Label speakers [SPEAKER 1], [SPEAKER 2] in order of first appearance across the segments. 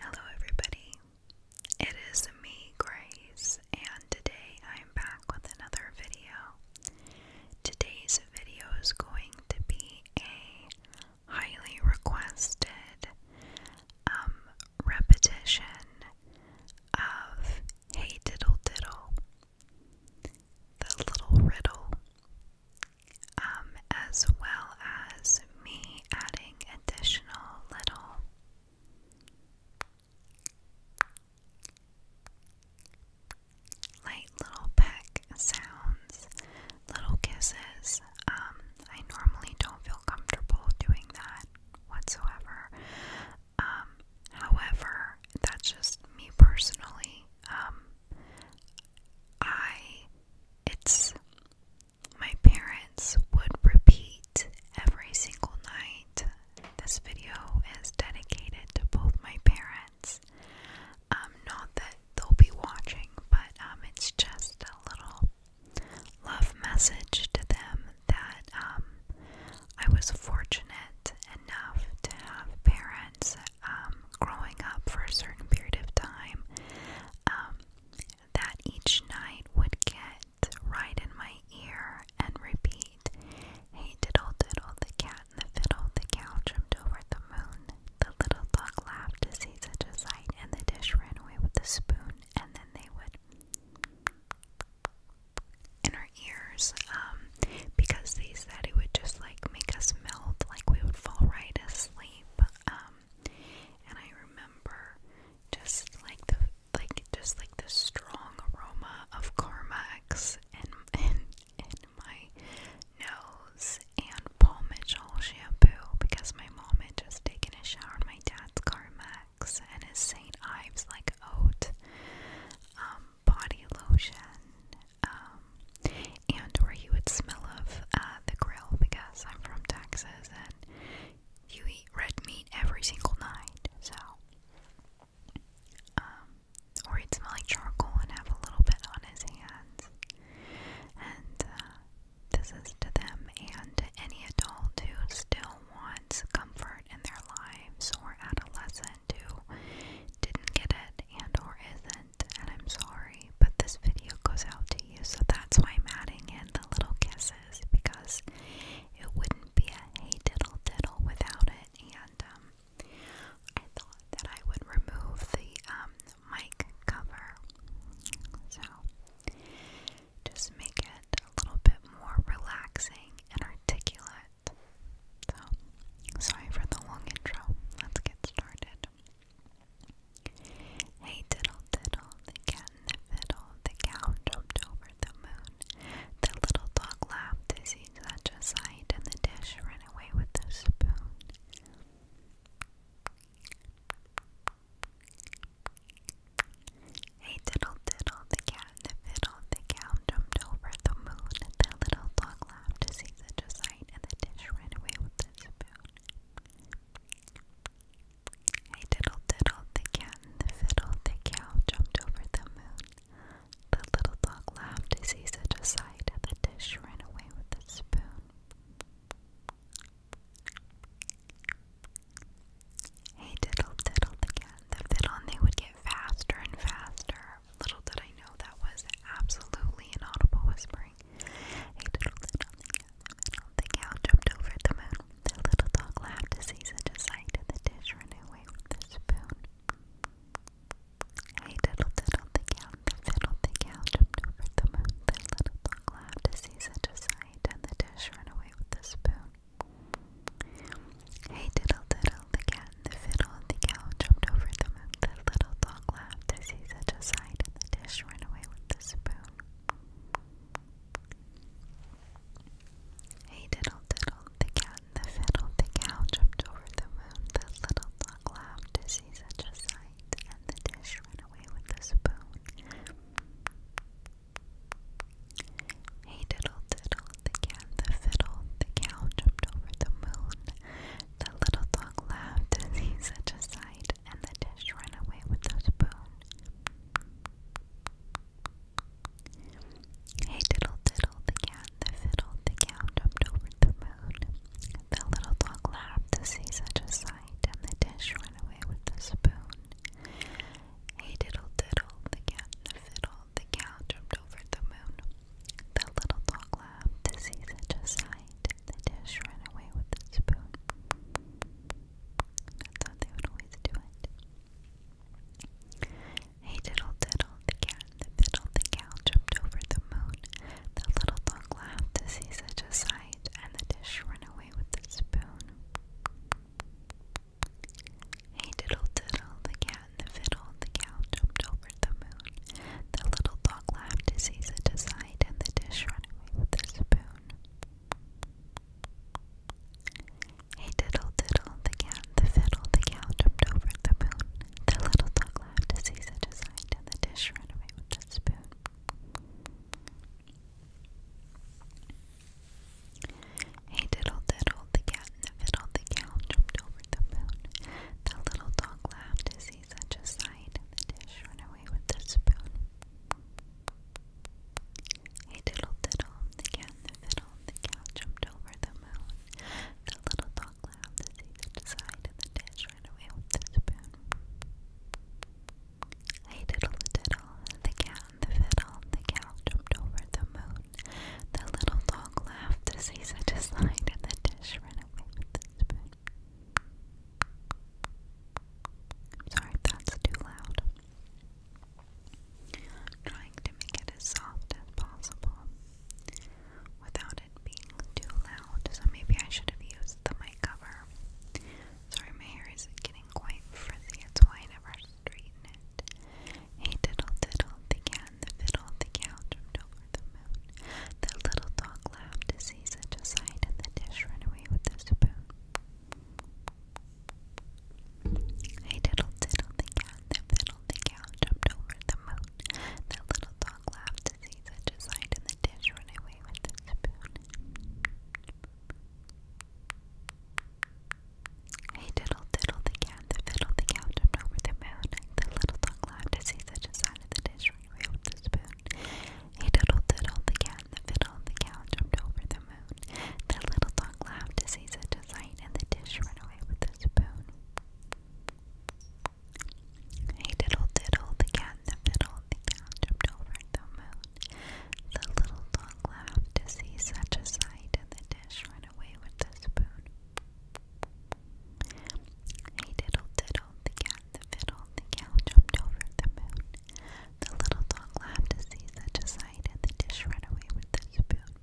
[SPEAKER 1] Hello, everybody. It is me, Grace, and today I am back with another video. Today's video is going to be a highly requested um, repetition of Hey Diddle Diddle, the little riddle um, as well as me adding additional little light little peck sounds, little kisses. Um, I normally don't feel comfortable doing that whatsoever. Um, however, that's just me personally. I, it's my parents would repeat every single night. This video is dedicated to both my parents. Um, not that they'll be watching, but um, it's just a little love message to them that um, I was fortunate enough to have parents um, growing up for a certain period of time um, that each night would get right in my ear and repeat Hey, diddle, diddle, the cat and the fiddle, the cow jumped over the moon. The little dog laughed to see such a sight, and the dish ran away with the spoon, and then they would. In our ears, um, because they said it would just like make us melt, like we would fall right asleep. Um, and I remember just like the like just like the strong aroma of Carmex in in in my nose and Paul Mitchell shampoo because my mom had just taken a shower in my dad's Carmex and his St. Ives like oat um, body lotion. Um, and where he would smell of uh, the grill because I'm from Texas diseases and you eat red meat every single night, so um, or he'd like charcoal and have a little bit on his hands. And uh, this is to them and any adult who still wants comfort in their lives or adolescent who didn't get it and or isn't. And I'm sorry but this video goes out to you, so that's why I'm adding in the little kisses because it wouldn't be a hey diddle diddle without it. And um, I thought that I would remove the um, mic cover, so just make it a little bit more relaxing and articulate. So, sorry for the long intro. Let's get started. Hey diddle diddle, the cat and the fiddle, the cow jumped over the moon. The little dog laughed to see such a sight, and the dish ran away with the spoon. Hey diddle diddle, the cat and the fiddle, the cow jumped over the moon. The little dog laughed to see such a sight, and the dish ran away with the spoon. Hey diddle diddle, the cat and the fiddle, the cow jumped over the moon. The little dog laughed to see such a sight, and the dish ran away with the spoon. Hey diddle diddle, the cat and the fiddle, and they would get faster and faster. Little did I know that was absolutely an audible whisper purring. A little the middle. The cow jumped over the moon. The little dog laughed to see such a sight. The dish ran away with the spoon. Hey diddle diddle the cow, the fiddle the cow jumped over the moon. The little dog laughed to see such a sight, and the dish ran away with the spoon. Hey diddle diddle the cat, the fiddle the cow jumped over the moon. The little dog laughed to see such a sight, and the dish ran away with the spoon. Hey diddle diddle, the cat and the fiddle, the cow jumped over the moon, the little dog laughed to see such a sight, and the dish ran away with the spoon. Hey diddle diddle, the cat the fiddle, the cow jumped over the moon, the little dog laughed to see such a sight, and the dish ran away with the spoon. Hey diddle diddle, the cat, the fiddle, the cow jumped over the moon. The little dog laughed to see such a sight, and the dish ran away with the spoon. Hey diddle diddle, the cat, the fiddle, the cow jumped over the moon. The little dog laughed to see such a sight, and the dish ran away with the spoon. Hey diddle diddle, the cat, the fiddle, the cow jumped over the moon. The little dog laughed to see such a sight, and the dish ran away with the spoon. Hey diddle diddle, the cat, the fiddle, the cow jumped over the moon. The little dog laughed to see such a sight, and the dish ran away with the spoon. Hey diddle diddle, the cat, the fiddle, the cow jumped over the moon. The little dog laughed to see such a sight, and the dish ran away with the spoon. Hey diddle diddle, the cat, the fiddle, the cow jumped over the moon. The little dog laughed to see such a sight, and the dish ran away with the spoon. Hey diddle diddle, the cat the fiddle, the cow jumped over the moon. The little dog lay on the seat side and the dish ran away with the spoon. Hey diddle diddle, the cat the fiddle, the cow jumped over the moon. The little dog laughed as he such a and the dish ran away with the spoon. I'm sorry that's too loud. trying to make it as soft as possible without it being too loud. So maybe I should have used the mic cover. Sorry, my hair is getting quite frizzy. It's why I never straighten it. Hey, diddle, diddle, the cat the fiddle, the cow jumped over the moon. The little dog laughed to see such a sight, and the dish ran away with the spoon. Hey diddle diddle the cat, the fiddle the cow jumped over the moon. The little dog laughed to see such a sight, and the dish ran away with the spoon. Hey diddle diddle the cat, the fiddle the cow jumped over the moon. The little dog laughed to see such a sight, and the dish ran away with the spoon. He diddled diddled the cat, the fiddle, the cow jumped over the moon. The little dog laughed to see such a sight, and the dish ran away with the spoon. He diddled diddled the cat, the fiddle, the cow jumped over the moon. The little dog laughed to see such a sight, and the dish ran away with the spoon. He diddled diddled the cat the fiddle, the cow jumped over the moon. The little dog laughed to see such a sight, and the dish ran away with the spoon.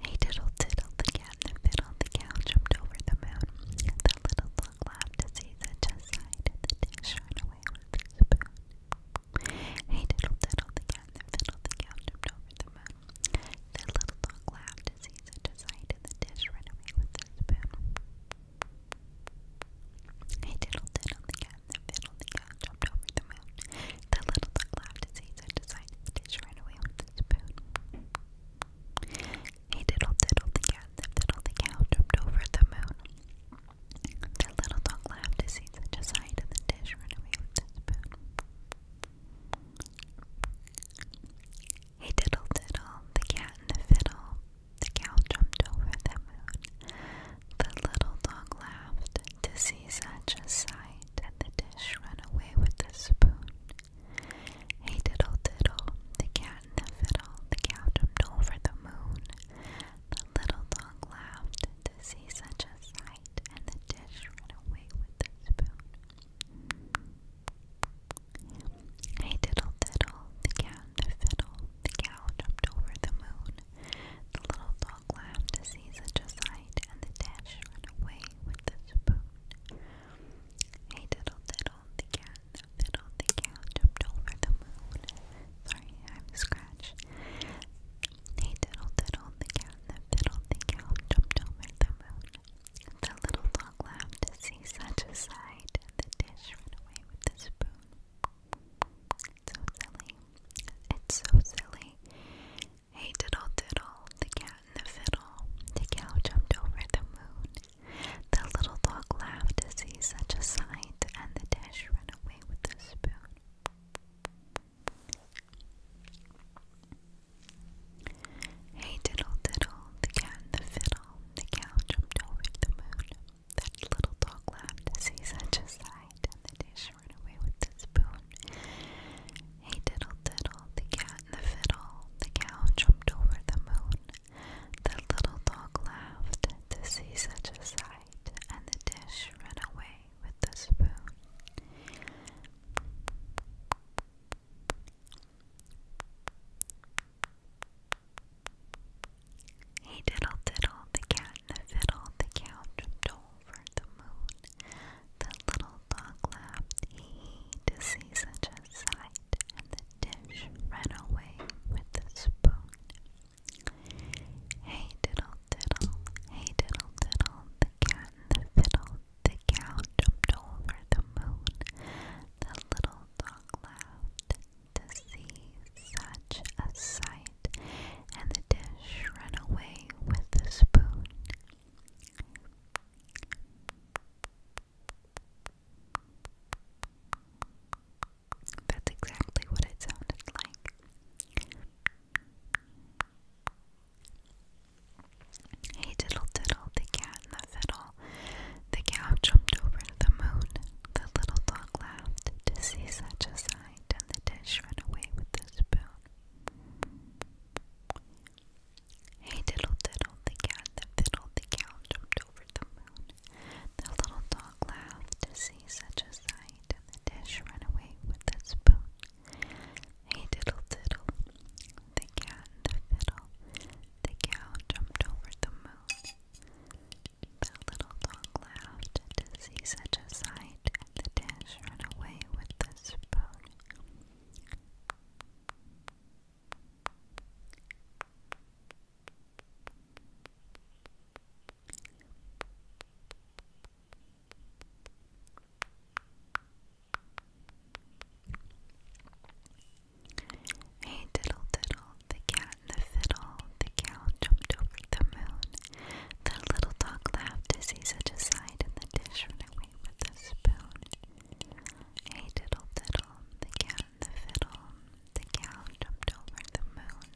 [SPEAKER 1] Hey diddle diddle, the cat the fiddle, the cow jumped over the moon. The little dog laughed to see such a sight, and the dish ran away with the spoon. Hey diddle diddle, the cat the fiddle, the cow jumped over the moon. The little dog laughed to see such a sight, and the dish ran away with the spoon. I diddled diddled the cat, and then fiddled the cat jumped over the moon. The little dog laughed to see such a sight, and the dish ran away with the spoon. I diddled diddled the cat, and then fiddled the cow jumped over the moon. The little dog laughed to see such a sight, and the dish ran away with the spoon. Hey diddle diddle, the cat and the fiddle, the cow jumped over the moon. The little dog laughed to see such a sight, and the dish ran away with the spoon. Hey diddle diddle, the cat and the fiddle, the cow jumped over the moon. The little dog laughed to see such a sight, and the dish ran away with the spoon. I diddle diddle, the cat and the fiddle, the cow jumped over the moon. The little dog laughed to see such a sight, and the dash ran away with the spoon. I diddle diddle, the cat and the fiddle, the cow jumped over the moon. Sorry, I'm scratched. Hey diddle diddle, the cat and the fiddle, the cow jumped over the moon. The little dog laughed to see such a sight, and the dish ran away with the spoon. So silly. It's so silly. Hey, diddle diddle, the cat and the fiddle. The cow jumped over the moon. The little dog laughed to see such a sight, and the dish ran away with the spoon. Hey diddle diddle, the cat and the fiddle, the cow jumped over the moon. That little dog laughed to see such a sight, and the dish ran away with the spoon. Hey diddle diddle, the cat and the fiddle, the cow jumped over the moon. The little dog laughed to see such a sight, and the dish ran away with the spoon. Hey diddle diddle, the cat and the fiddle, the cow jumped over the moon. The little dog laughed, hee hee, to see such a sight, and the dish ran away with the spoon. Hey diddle diddle, hey diddle diddle, the cat the fiddle, the cow jumped over the moon. The little to see such a sight, and the dish ran away with the spoon. That's exactly what it sounded like. Hey diddle diddle, the cat and the fiddle. The cow jumped over the moon. The little dog laughed to see such a sight, and the dish ran away with the spoon. Hey diddle diddle, the cat, the fiddle, the cow jumped over the moon. The little dog laughed to see such a sight, and the dish ran away with the spoon. Hey diddle diddle, the cat and the fiddle. The cow jumped over the moon. The little dog laughed to see such a sight, and the dish ran away with the spoon. Hey diddle diddle, the cat and the fiddle, the cow jumped over the moon. The little dog laughed to see such a sight, and the dish ran away with the spoon. Hey diddle diddle, the cat and the fiddle, the cow jumped over the moon.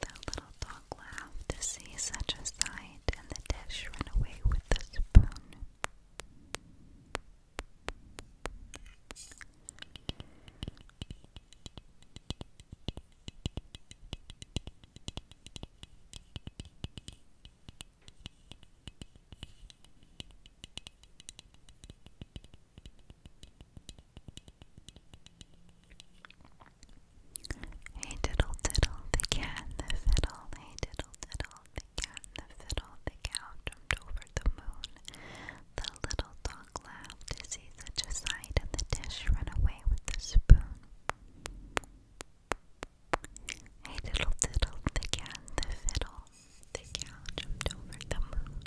[SPEAKER 1] The little dog laughed to see such a sight, and the dish ran away with the spoon. Hey diddle diddle, the cat and the fiddle, hey diddle diddle, the cat the fiddle, the cow jumped over the moon. The little dog laughed to see such a sight, and the dish ran away with the spoon. Hey diddle diddle, the cat the fiddle, the cow jumped over the moon.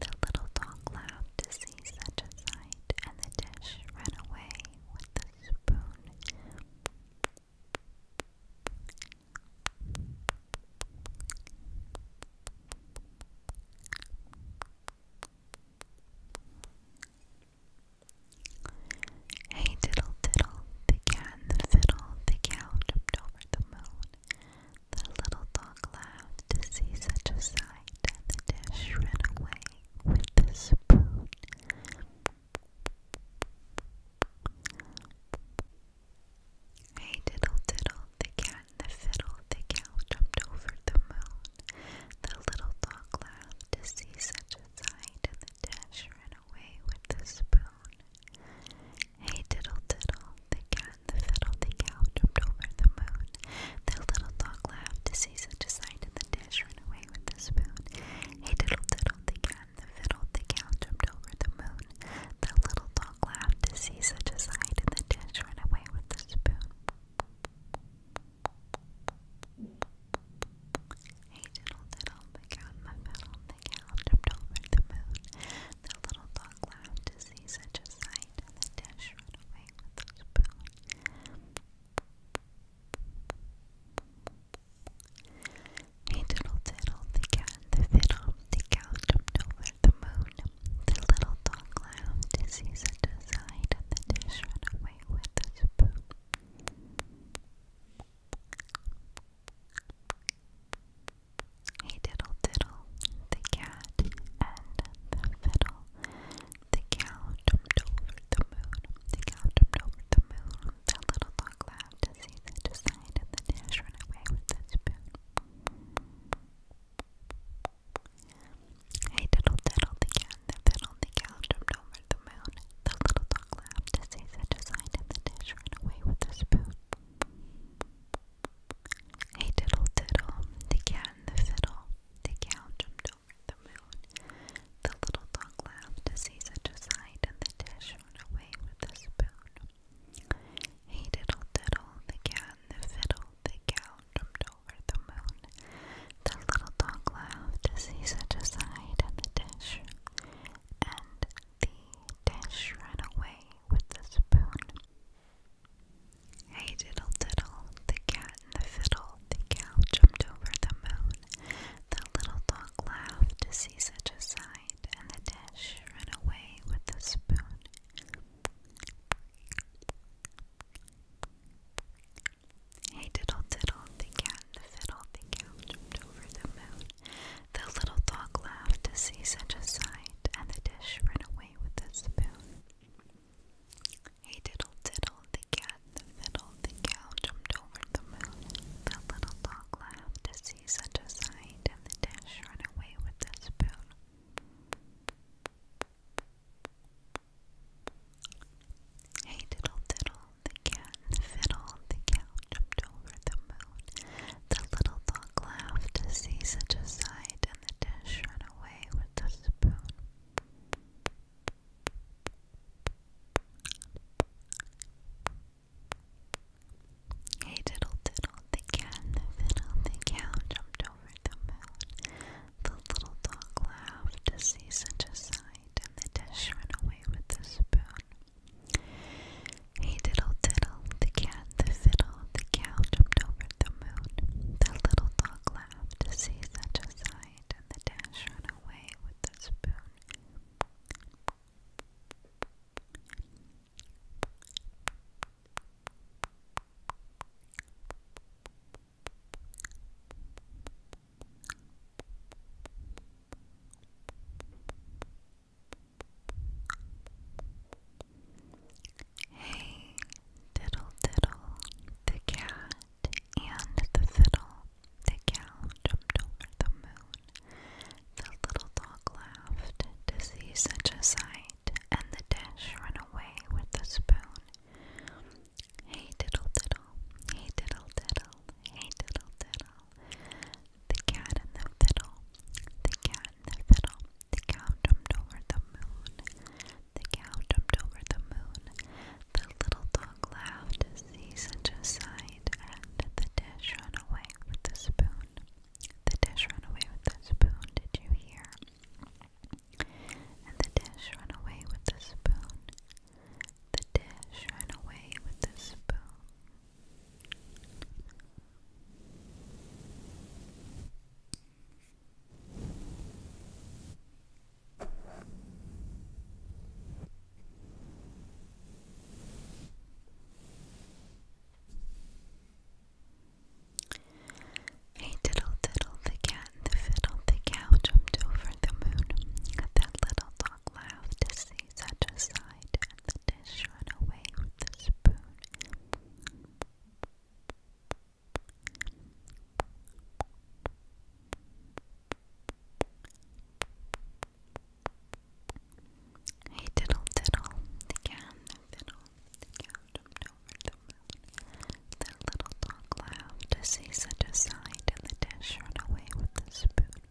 [SPEAKER 1] The little dog laughed to see such a sight, and the dish ran away with the spoon. Hey diddle diddle, the cat the fiddle, the cow jumped over the moon. The little dog laughed to see such a sight, and the dish ran away with the spoon. Hey diddle diddle, the cat and the fiddle, the cow jumped over the moon. The little dog laughed to see such a sight, and the dish ran away with the spoon. Hey diddle diddle, the cat and the fiddle, the cow jumped over the moon. The little dog laughed to see such a sight, and the dish ran away with the spoon. Hey diddle diddle, the cat the fiddle, the cow jumped over the moon. The little dog laughed to see such a sight, and the dish ran away with the spoon. Hey, diddle diddle, the cow the fiddle, the cow jumped over the moon. The little dog laughed to see such a sight, and the dish ran away with the spoon. Hey diddle diddle, the cat, the fiddle, the cow jumped over the moon. The little dog laughed to see such a sight, and the dish ran away with the spoon. Hey diddle diddle, the cat and the fiddle, the cow jumped over the moon. The cow jumped over the moon. The little dog laughed to see that the side of the dish ran away with the spoon. Hey diddle diddle the cat that fiddle the cow jumped over the moon. The little dog laughed to see such a sight and the dish ran away with the spoon. Hey diddle diddle, the cat the fiddle, the cow jumped over the moon. The little dog laughed to see such a sight and the dish ran away with the spoon. Hey diddle diddle, the cat and the fiddle, the cow jumped over the moon. The little dog laughed to see such a sight and the dish ran away with the spoon. Hey diddle diddle, the cat and the fiddle, the cow jumped over the moon. The little dog laughed to see such a sight and the dish ran away with the spoon. Hey diddle diddle, the cat the fiddle, the cow jumped over the moon. The little dog laughed to see such a sight, and the dish ran away with the spoon. Hey diddle diddle, the cat the fiddle, the cow jumped over the moon. The little dog laughed to see see such a sight, and the dish run away with the spoon. Hey diddle diddle, the cat and fiddle, the cow jumped over the moon. The little dog laughed to see such a sight, and the dish ran away with the spoon. Hey diddle diddle, the cat the fiddle, the cow jumped over the moon. The little dog laughed to see such a sight, and the dish ran away with the spoon. Hey diddle diddle, the cat, the fiddle, the cow jumped over the moon. The little dog laughed to see such a sight, and the dash ran away with the spoon. Hey, diddle diddle, the cat and the fiddle, the cow jumped over the moon. The little dog laughed to see such a sight, and the dish ran away with the spoon. Hey diddle diddle, hey diddle diddle, hey diddle diddle. The cat and the fiddle, the cat and the fiddle. The cow jumped over the moon, the cow jumped over the moon. The little dog laughed to see such a sight, and the dish ran away with the spoon. The dish ran away with the spoon, did you hear? the dish ran away with the spoon. The dish ran away with the spoon. Hey diddle diddle, the cat and the fiddle, the cow jumped over the moon. That little dog laughed to see such a sight, and the dish ran away with the spoon. Hey diddle diddle, the cat and the fiddle, the cow jumped over the moon. The little dog laughed to see such a the dish ran away with the spoon.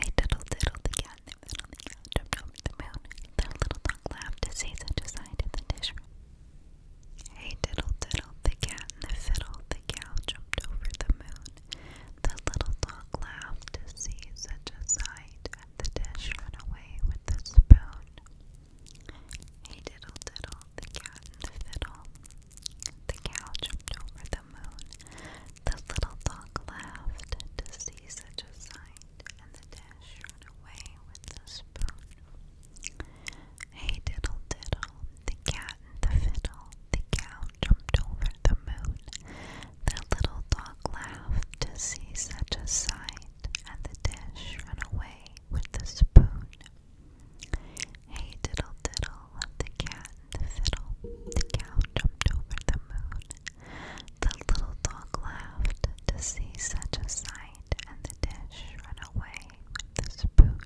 [SPEAKER 1] Hey diddle diddle, the cat and the fiddle, the cow jumped over the moon. The little dog laughed to see such a the dish. Hey diddle diddle, the cat and the fiddle, the cow jumped over the moon. The little dog laughed to see such a sight, and the dash ran away with the spoon. Hey diddle diddle, the cat and the fiddle. The cow jumped over the moon. The little dog laughed to see such a sight, and the dish ran away with the spoon. Hey diddle diddle, the cat and the fiddle, the cow jumped over the moon. The little dog laughed to see such a sight, and the dish ran away with the spoon. Hey diddle diddle, the cat the fiddle, the cow jumped over the moon. The little dog laughed to see such a sight, and the dish ran away with the spoon.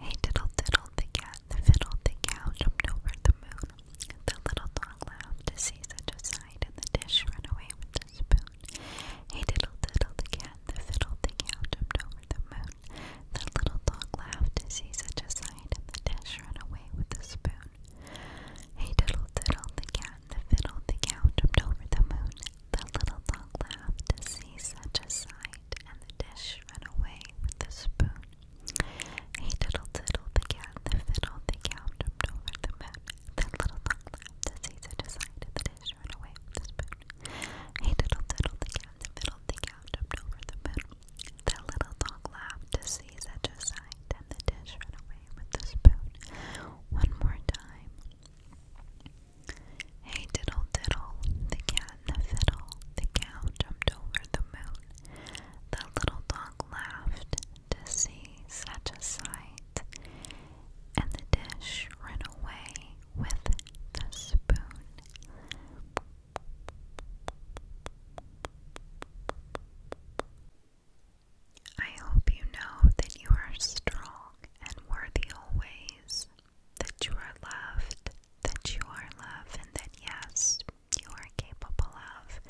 [SPEAKER 1] Hey diddle diddle the cat, the fiddle the cow jumped over the moon. The little dog laughed to see such a sight, and the dish ran away with the spoon. Hey diddle diddle the cat, the fiddle the cow jumped over the moon. The little dog laughed to see such a sight, and the dish ran away with the spoon. Hey diddle diddle, the cat, the fiddle, the cow jumped over the moon. The little dog laughed to see such a sight, and the dish ran away with the spoon. Hey diddle diddle, the cat, the fiddle, the cow jumped over the moon. The little dog laughed to see such a and the dish ran away with the spoon. Hey diddle diddle, the cat, the fiddle, the cow jumped over the moon. The little dog laughed to see such a night, the dish ran away with the spoon. One more time. Hey diddle diddle, the cat and the fiddle, the cow jumped over the moon. The little dog laughed to see such a sight, and the dish ran away with the spoon. I hope you know that you are strong and worthy always, that you are loved, that you are loved, and that yes, you are capable of.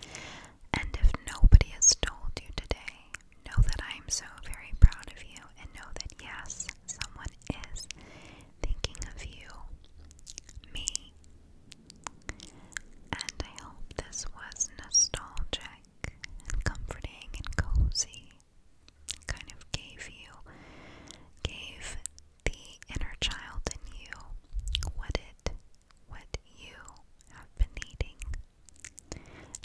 [SPEAKER 1] And if nobody has told you today, know that I am so very proud of you, and know that yes, someone is thinking of you, me. And I hope this was nostalgic and comforting and cozy. kind of gave you, gave the inner child in you what it, what you have been needing.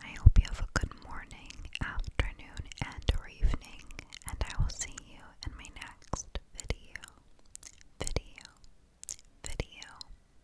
[SPEAKER 1] I hope you have a good morning, afternoon, and or evening, and I will see you in my next video. Video. Video.